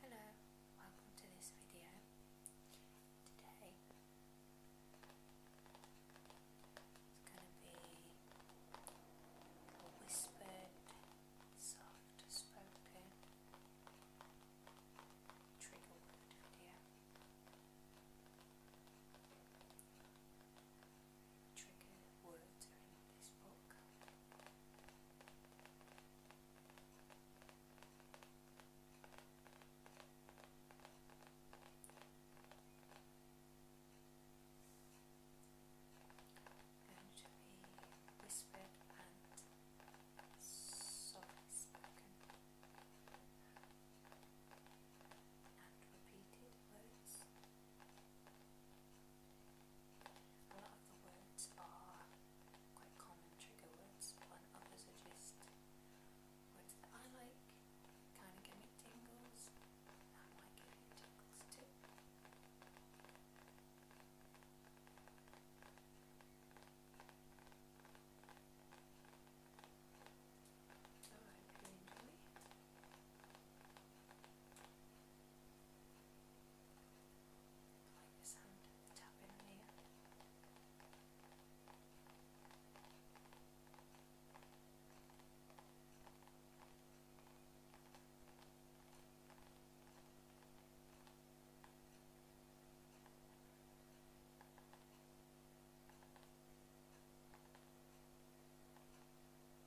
Hello, welcome to this video. Today it's going to be a whispered, soft spoken trigger word Trigger words in this book. Going to be whispered and softly spoken and repeated words. A lot of the words are quite common trigger words, and others are just words that I like, kind of give me tingles, and might give you tingles too. So I hope you enjoy like the sound of the tapping here. Just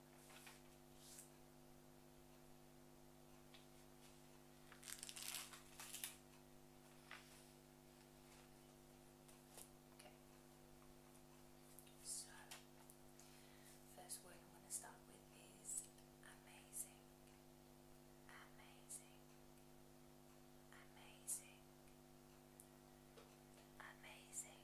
So, first word I want to start with is amazing, amazing, amazing. Amazing,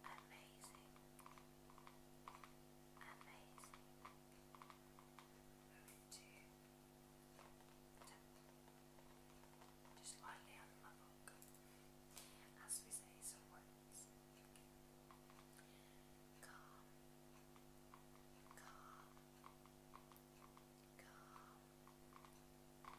amazing, amazing. Move to just lightly on my book, as we say some words. Calm, calm, calm, calm.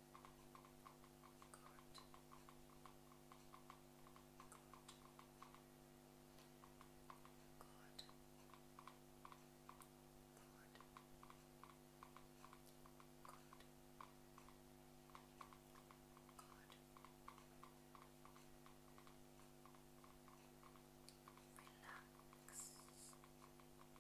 Good. Good. Good. Good. Good. Relax. Relax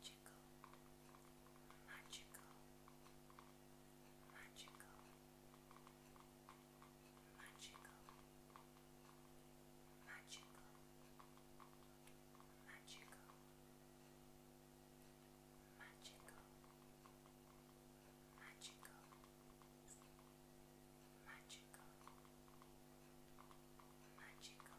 much magical, magical, magical, magical, magical, magical, magical, magical, magical. Magical,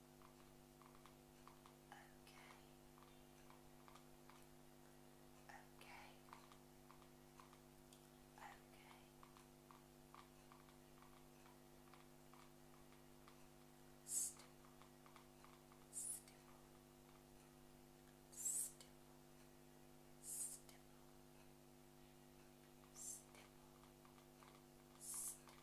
Okay. Okay. Okay. Stipple. Stipple. Stipple. Stipple. Stipple. Stipple.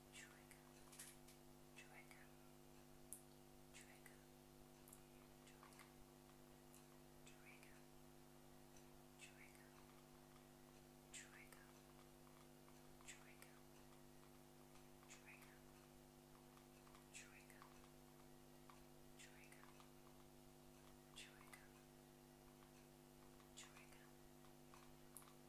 trigger, trigger, trigger, trigger, trigger, trigger, trigger, trigger, trigger, trigger, trigger, trigger, trigger,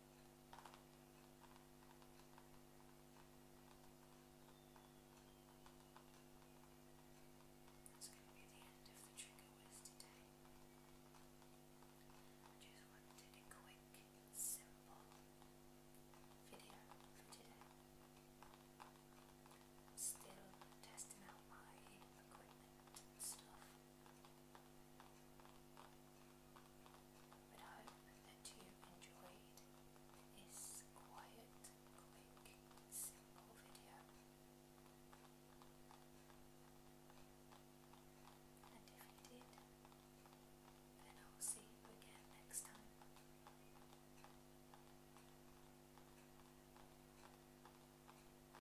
That's going to be the end of the trigger with today. just wanted a quick, simple video Still testing out my equipment and stuff. But I hope that you enjoyed this quiet, quick, simple video. And if you did, then I'll see you again next time.